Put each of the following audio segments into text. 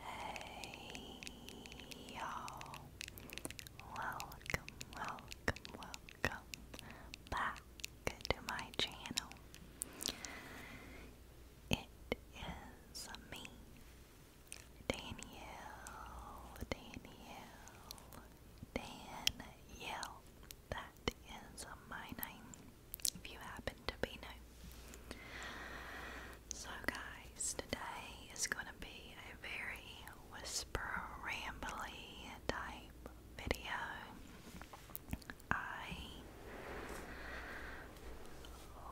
Hey y'all, welcome, welcome, welcome back to my channel. It is me, Danielle, Danielle, Danielle. That is my name, if you happen to be new. So, guys, today is going to be a very whisper rambly type video. I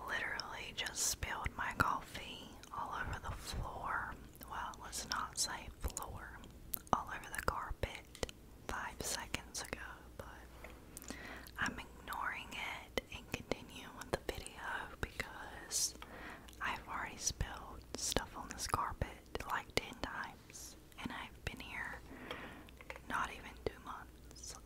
literally just spilled my coffee all over the floor. Well, let's not say floor, all over the carpet five seconds ago, but I'm ignoring it and continue with the video because I've already spilled stuff on this carpet like 10 times and I've been here not even two months. So.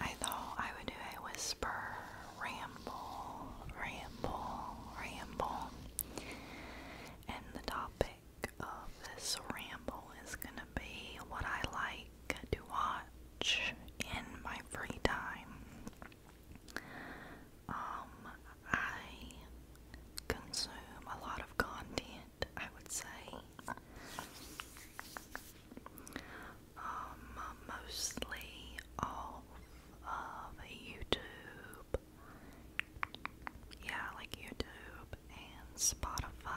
I thought I would do a whisper ramble, ramble, ramble. And the topic of this ramble is going to be what I like to watch in my free time. Um, I consume a lot of content, I would say um, mostly off of YouTube. Yeah, like YouTube and Spotify.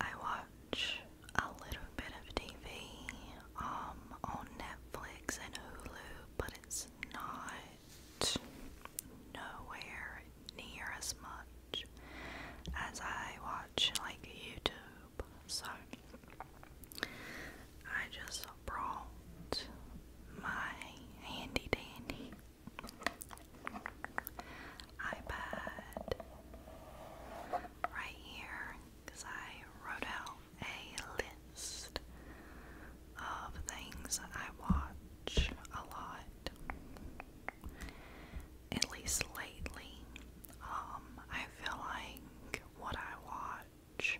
I watch a little bit of TV um, on Netflix and Hulu, but it's not nowhere near as much as I watch like YouTube. So I just brought my handy dandy iPad right here because I wrote out a list of things that I watch a lot at least lately, um, I feel like what I watch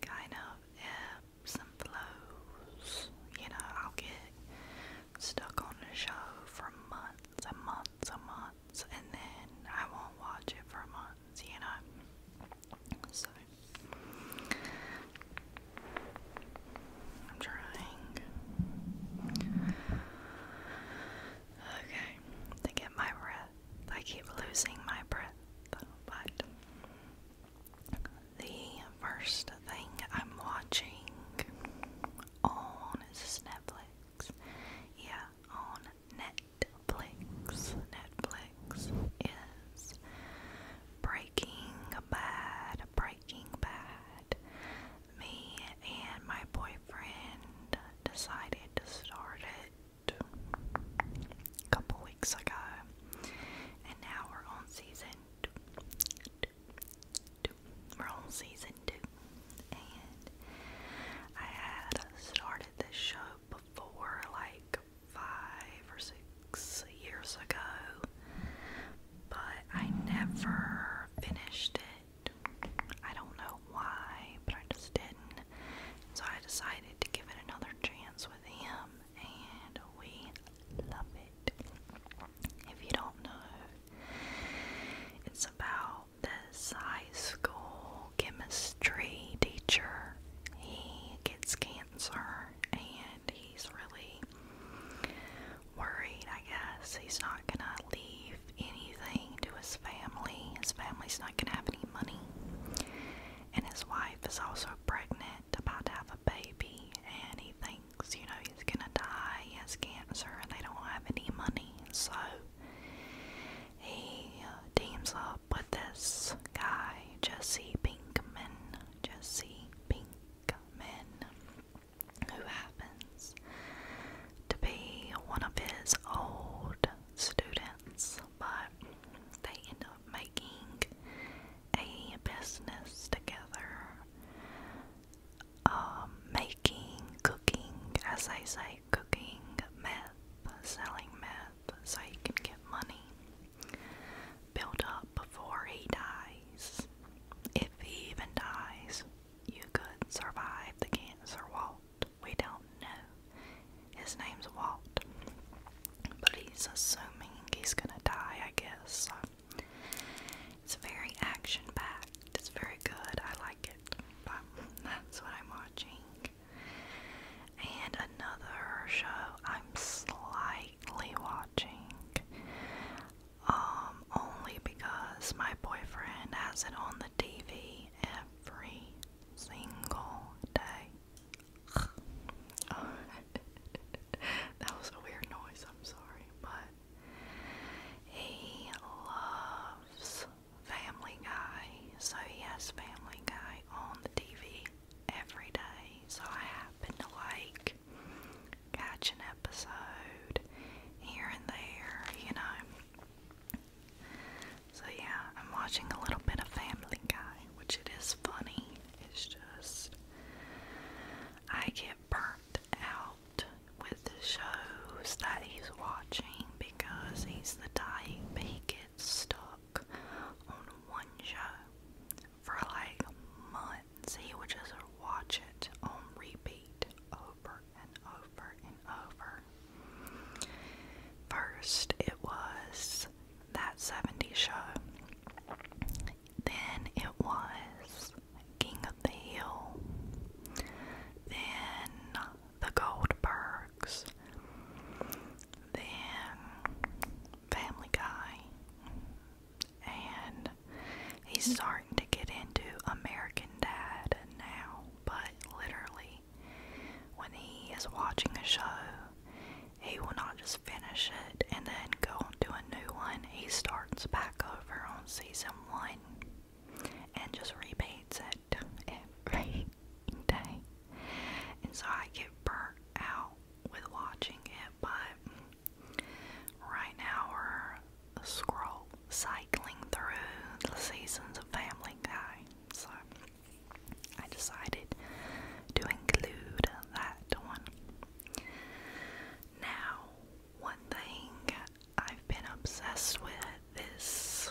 kind of ebbs and flows. You know, I'll get stuck on a show for months and months and months, and then I won't watch it for months, you know? So, I'm trying. Okay, to get my breath. I keep losing my breath, but the first thing I'm watching on Netflix. Yeah, on Netflix. Netflix is Breaking Bad. Breaking Bad me and my boyfriend decided to start it a couple weeks ago, and now we're on season two, two. We're on season two, and I had started this show before, like five or six years ago, but I never finished it. I don't know why, but I just didn't. So I decided to give it another chance with him, and we love it. If you don't know, it's about this high school chemistry teacher. He gets cancer, and he's really worried, I guess. He's not gonna leave anything to his family. His family's not gonna have any money. And his wife is also pregnant, about to have a baby, and he thinks, you know, he's gonna die. He has cancer, and they don't have any money. So he uh, teams up with this guy, Jesse Pinkman. Jesse Pinkman who happens to be one of his old students, but they end up making a business together, um, making, cooking, as they say, cooking meth, selling meth, so he can get money built up before he dies, if he even dies you could survive the cancer, Walt. We don't know. His name's Walt. But he's assuming he's gonna die, I guess. it's very action packed. It's very good. I like it. that's what I'm watching. And another show I'm slightly watching. Um, only because my boyfriend has it on the TV every single day. that was a weird noise, I'm sorry, but he loves Family Guy, so he has Family Guy on the TV every day. So I happen to like catch an episode here and there, you know. So, yeah, I'm watching a little bit of Family Guy, which it is funny. It's just, I get burnt out with the shows that he's watching because he's the type he gets stuck on one show for like a month. See, He would just watch it on repeat over and over and over. First, it was that 70 show. Then it was King of the Hill. Then the Goldbergs. Then Family Guy and he's starting to get into American Dad now, but literally, when he is watching a show, he will not just finish it and then go on to a new one. He starts back over on season one and just repeats it every day. And so I get burnt out with watching it, but Right now we're scroll through the seasons of Family Guy, so I decided to include that one. Now, one thing I've been obsessed with this,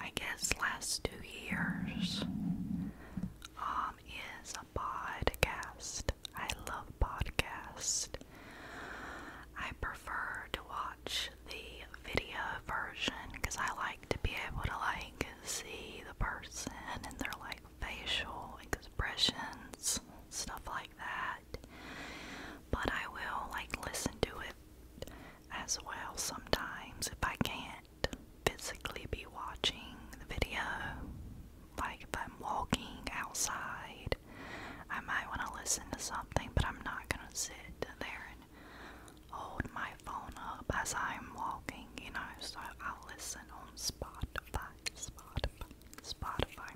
I guess, last two years um, is a podcast. I love podcasts. I prefer to watch the video version because I like to be able to like see the person and their like facial expressions, stuff like that. But I will like listen to it as well sometimes if I can't physically be watching the video. Like if I'm walking outside, I might want to listen to something, but I'm not gonna sit there and hold my phone up as I'm walking, you know. So I'll listen on Spotify, Spotify, Spotify.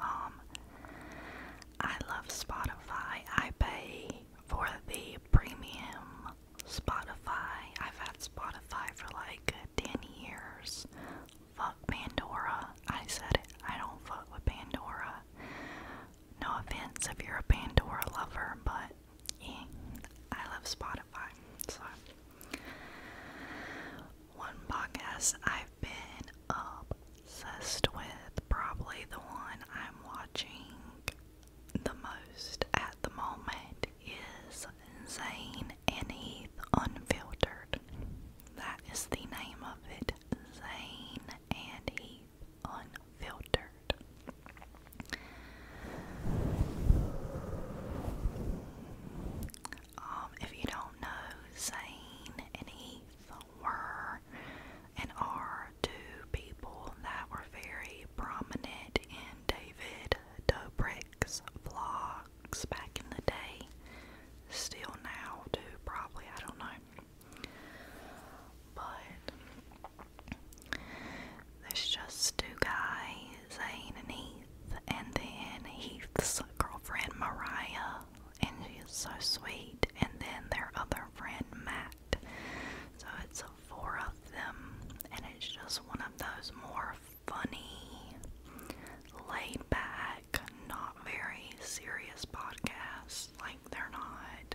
Um, I love Spotify. I pay for the premium Spotify. I've had Spotify for like 10 years. Fuck Pandora. I said I don't fuck with Pandora. No offense if you're a Pandora lover, but yeah, I love Spotify. So, one podcast I've been obsessed with, probably the one I'm watching the most at the moment is Zane and Heath Unfiltered. That is the name of it. Zane and Heath Unfiltered. Um, if you don't know, Zane and Heath were and are two people that were very prominent in David Dobrek's vlogs back in the day. Still now, too, probably. I don't know. But there's just two guys, Zane and Heath, and then Heath's girlfriend Mariah, and she's so sweet, and then their other friend Matt. So it's a four of them, and it's just one of those more funny, laid back, not very serious podcasts. Like, they're not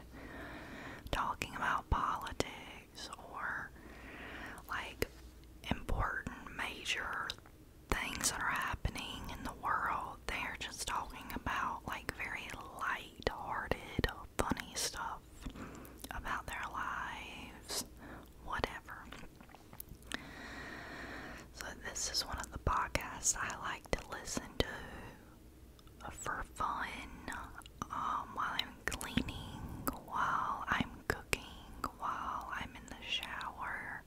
talking about politics or like important major things that are happening in the world. They're just talking about like very light hearted, funny stuff about their lives, whatever. So, this is one of the podcasts I like to listen to for fun um, while I'm cleaning, while I'm cooking, while I'm in the shower.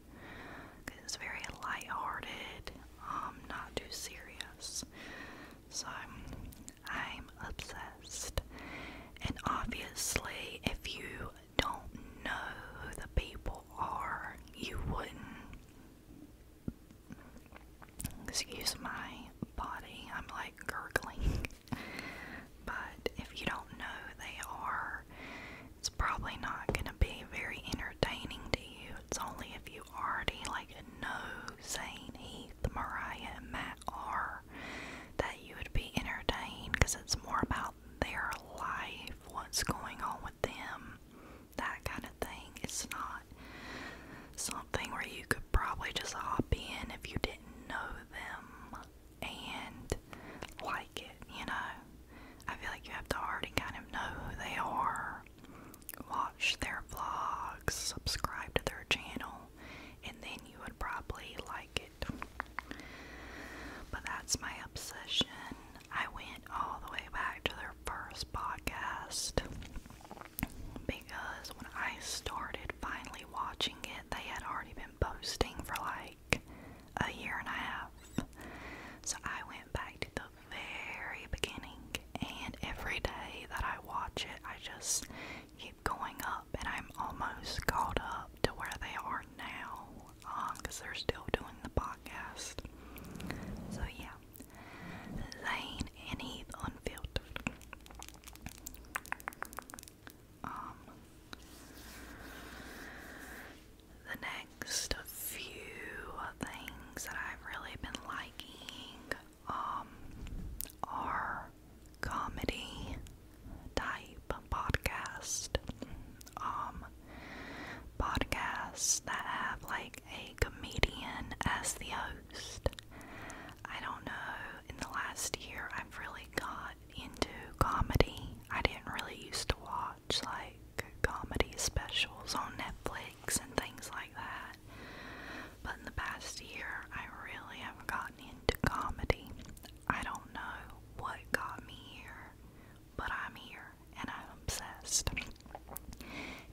Because it's very light lighthearted, um, not too serious. So, I'm obsessed. And obviously, if you don't know who the people are, you wouldn't. Excuse my body, I'm like gurgling. but if you don't know who they are, it's probably not going to be very entertaining to you. It's only if you already like know Zane Heath, Mariah, and Matt are that you would be entertained because it's more about their life, what's going on with them, that kind of thing. It's not something where you could probably just hop in if you didn't know them and like it, you know. I feel like you have to already kind of know who they are, watch their vlogs, subscribe to their channel, and then you would probably like it. But that's my obsession. I went all the way back to their first podcast because when I started finally watching it, they had already been posting for like a year and a half. So I went back to the very beginning, and every day that I watch it, I just going up, and I'm almost caught up to where they are now because um, they're still doing the podcast. So, yeah, Zane and Heath Unfiltered. Um, the next few things that I've really been liking um, are comedy type podcast, um, podcasts that have like a comedian as the host. I don't know. In the last year, I've really got into comedy. I didn't really used to watch like comedy specials on Netflix and things like that. But in the past year, I really haven't gotten into comedy. I don't know what got me here, but I'm here and I'm obsessed.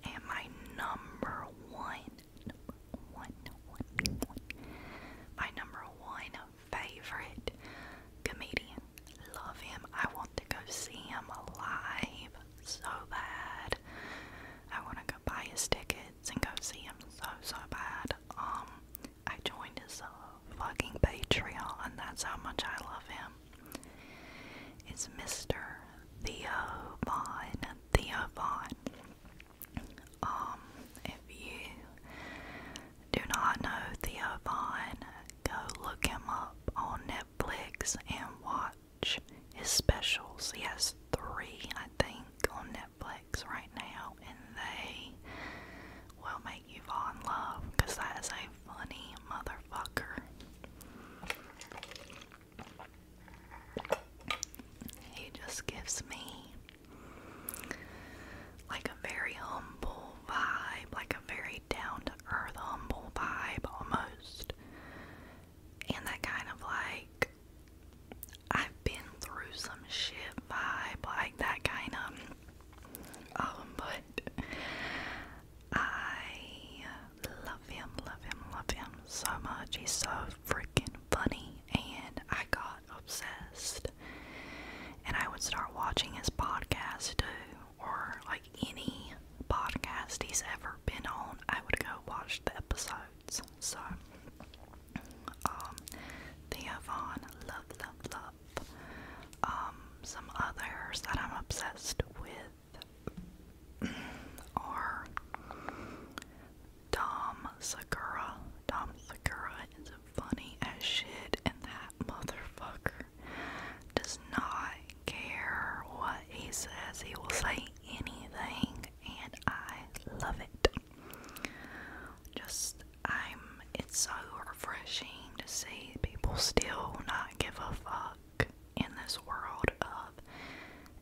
And my number one, my number one favorite comedian. Love him. I want to go see him live so bad. I want to go buy his tickets and go see him so so bad. Um, I joined his uh, fucking Patreon. and That's how much I love him. It's Mr. Theo Vaughn. Theo Vaughn. Um, if you do not know Theo Vaughn, go look him up on Netflix and watch watch his specials. He has three, I think, on Netflix right now, and they will make you fall in love because that is a funny motherfucker. He just gives me like a very humble vibe, like a very down to earth humble vibe almost. And that kind of like I've been through some shit vibe, like that kind of. Um, but I love him, love him, love him so much. He's so freaking funny, and I got obsessed. And I would start watching his podcast too, or like any podcast he's ever been on, I would go watch the episode so um the Love Love Love. Um, some others that I'm obsessed with are Dom Segura. Dom Segura is funny as shit and that motherfucker does not care what he says. He will say anything and I love it. Just I'm it's so refreshing to see people still not give a fuck in this world of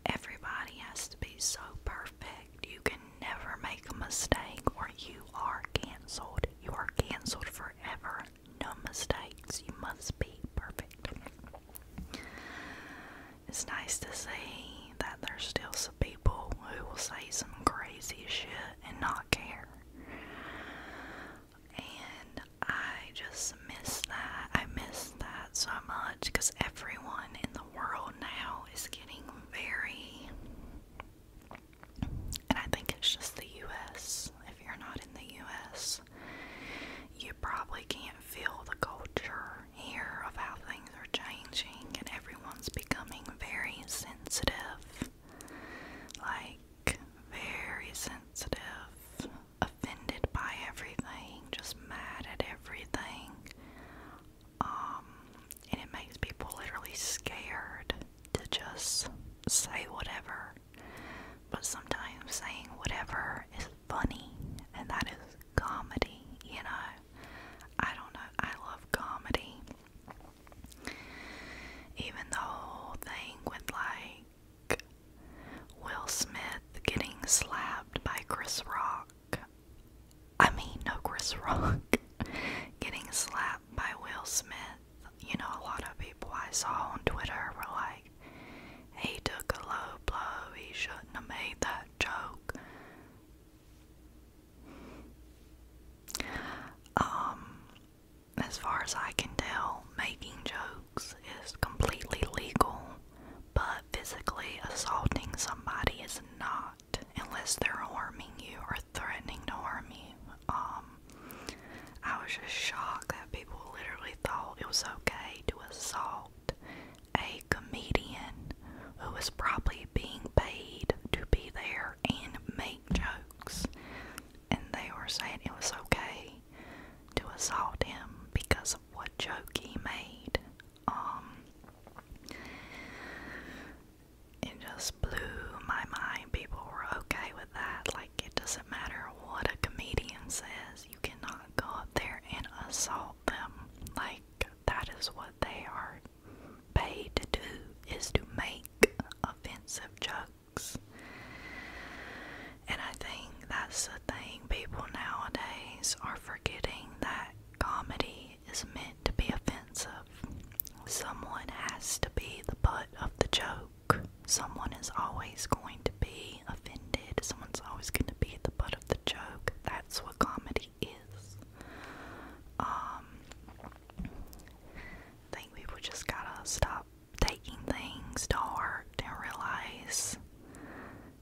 everybody has to be so perfect. You can never make a mistake or you are cancelled. You are cancelled forever. No mistakes. You must be perfect. It's nice to see that there's still some people who will say some crazy shit and not care. And I just miss that. I miss that so much because everyone in the world now is getting very. And I think it's just the US. If you're not in the US, you probably can't feel the culture here of how things are changing, and everyone's becoming very sensitive. Like, very sensitive, offended by everything, just mad at everything. Um, and it makes people literally scared to just say whatever. But sometimes saying whatever is funny, and that is comedy, you know. I don't know, I love comedy. Even the whole thing with like Will Smith getting slapped by Chris Rock. I mean, no, Chris Rock getting slapped by Will Smith. You know, a lot of people I saw on Twitter were like, he took a low blow, he shouldn't have made that joke. Um, as far as I can tell, making jokes is completely legal, but physically assaulting somebody is not, unless they're harming you or threatening to harm you. Um, I was just shocked that people literally thought it was okay to assault a comedian who was probably being paid to be there and make jokes, and they were saying it was okay to assault him because of what joke he made. Um, it just blew my mind. People were okay with that. Like, it doesn't matter what a comedian says, you cannot go up there and assault them. Like, that is what they are paid to do, is to make offensive jokes. And I think that's the thing people nowadays are forgetting that comedy is meant to be offensive. Someone has to be the butt of the joke someone is always going to be offended, someone's always going to be the butt of the joke. That's what comedy is. Um, I think people just gotta stop taking things to heart and realize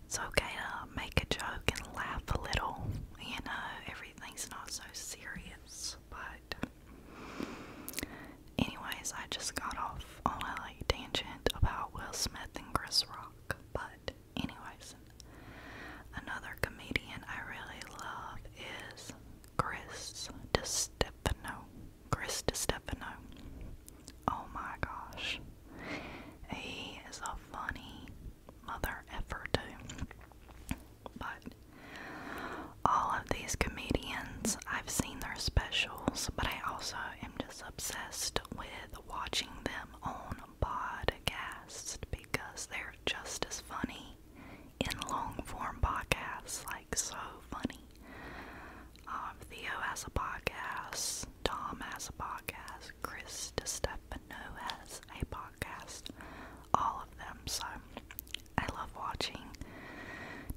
it's okay to make a joke and laugh a little. You know, everything's not so serious, but Anyways, I just got off on a like tangent about Will Smith and Chris Rock. But anyways, another comedian I really love is Chris DiStefano. Chris DiStefano. Oh my gosh. He is a funny mother effer too. But all of these comedians, I've seen their specials, but I also am just obsessed with watching them on podcasts because they're just as funny in long form podcasts, like so funny. Um, Theo has a podcast, Tom has a podcast, Chris DiStefano has a podcast, all of them. So I love watching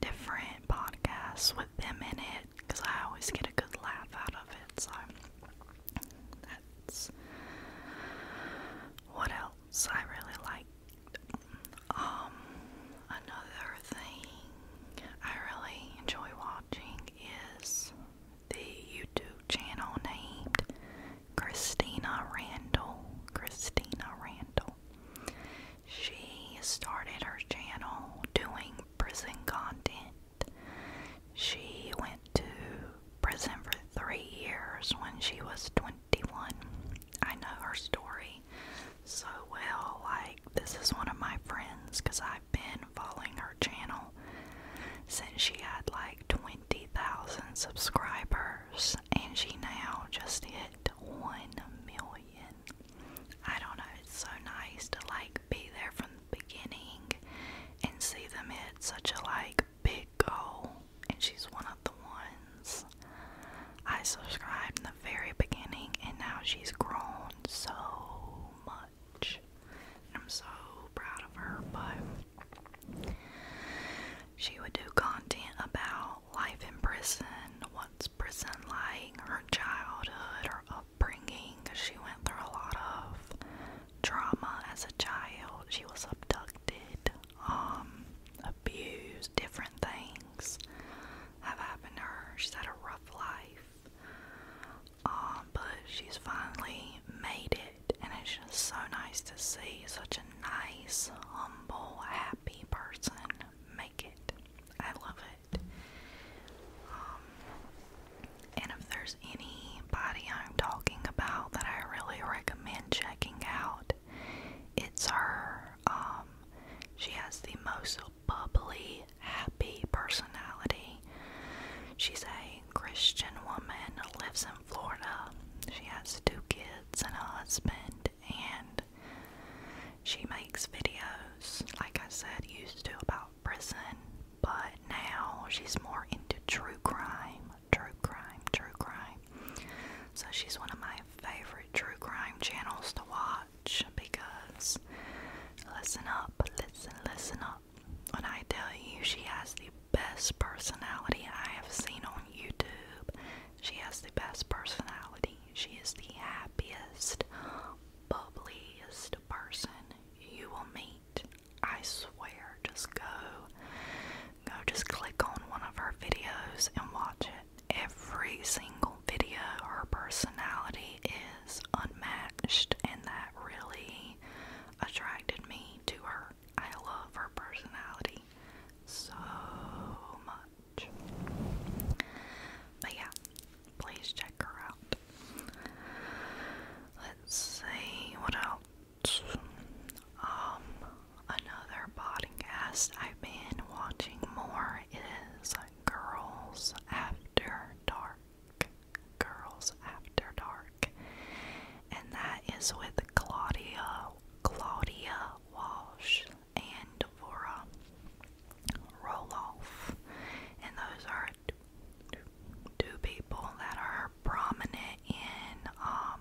different podcasts with them in it because I always get a good laugh out of it. So that's what else I really like. Um, another thing I really enjoy watching is the YouTube channel named Christina Randall. Christina Randall. She started her channel doing prison content. She went to prison for three years when she was 21. I know her story so well. Like, this is one of my friends because I've been following her channel since she had like 20,000 subscribers and she now just hit 1 million. I don't know, it's so nice to like be there from the beginning and see them hit such a like big goal and she's one of the ones. I subscribed in the very beginning and now she's grown so much. I'm so proud of her, but she would do content about life in prison, what's prison like, her childhood, her upbringing. She went through a lot of trauma as a child. She was abducted, um, abused, different things have happened to her. She's had a rough life. Um, but she's finally made it, and it's just so nice to see such a nice, humble, happy person make it. I love it. Um, and if there's anybody I'm talking about that I really recommend checking out, it's her. Um, she has the most bubbly, happy personality. She's a Christian woman, lives in Florida. She has two kids and a husband and she makes videos, like I said, used to about prison, but now she's more into true crime, true crime, true crime. So she's one of my favorite true crime channels to watch because listen up, listen, listen up. When I tell you she has the best personality I have seen on YouTube, she has the best personality. She is the happiest, bubbliest person you will meet. I swear, just go. Go just click on one of her videos and watch it. Every single video, her personality is unmatched, and that really attracted me to her. I love her personality so much. But yeah, please check her out. Let's see what else. Um, another podcast I've been watching more is Girls After Dark. Girls After Dark. And that is with Claudia Claudia Walsh and Devora Roloff. And those are two people that are prominent in um,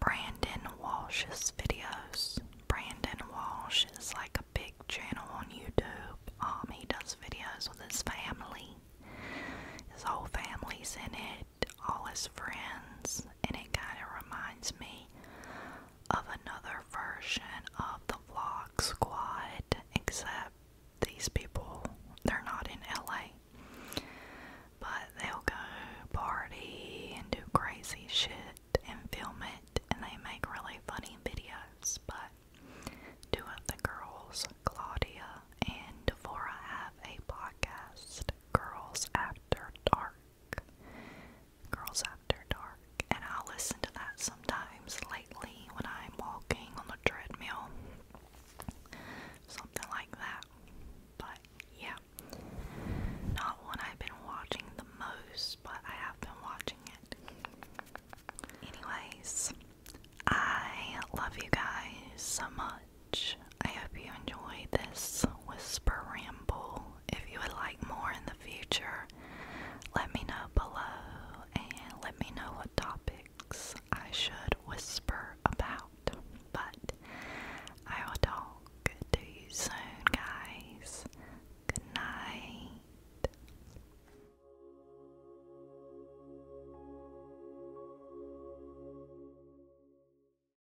Brandon Walsh's videos. Brandon Walsh is like a big channel on YouTube. Um, he does videos with his family. His whole family's in it, all his friends, and it kind of reminds me of another version of the Vlog Squad, except these people, they're not in LA. But they'll go party and do crazy shit and film it, and they make really funny videos. But two of the girls, Claudia and Devora, have a podcast, Girls After Dark. Girls After Dark. And I'll listen to that sometimes lately when I'm walking on the treadmill. Something like that. But yeah. Not one I've been watching the most, but I have been watching it. Anyways, I love you guys so much. I hope you enjoyed this whisper ramble. If you would like more in the future, let me know below and let me know what topics I should whisper about. But I will talk to you soon, guys. Good night.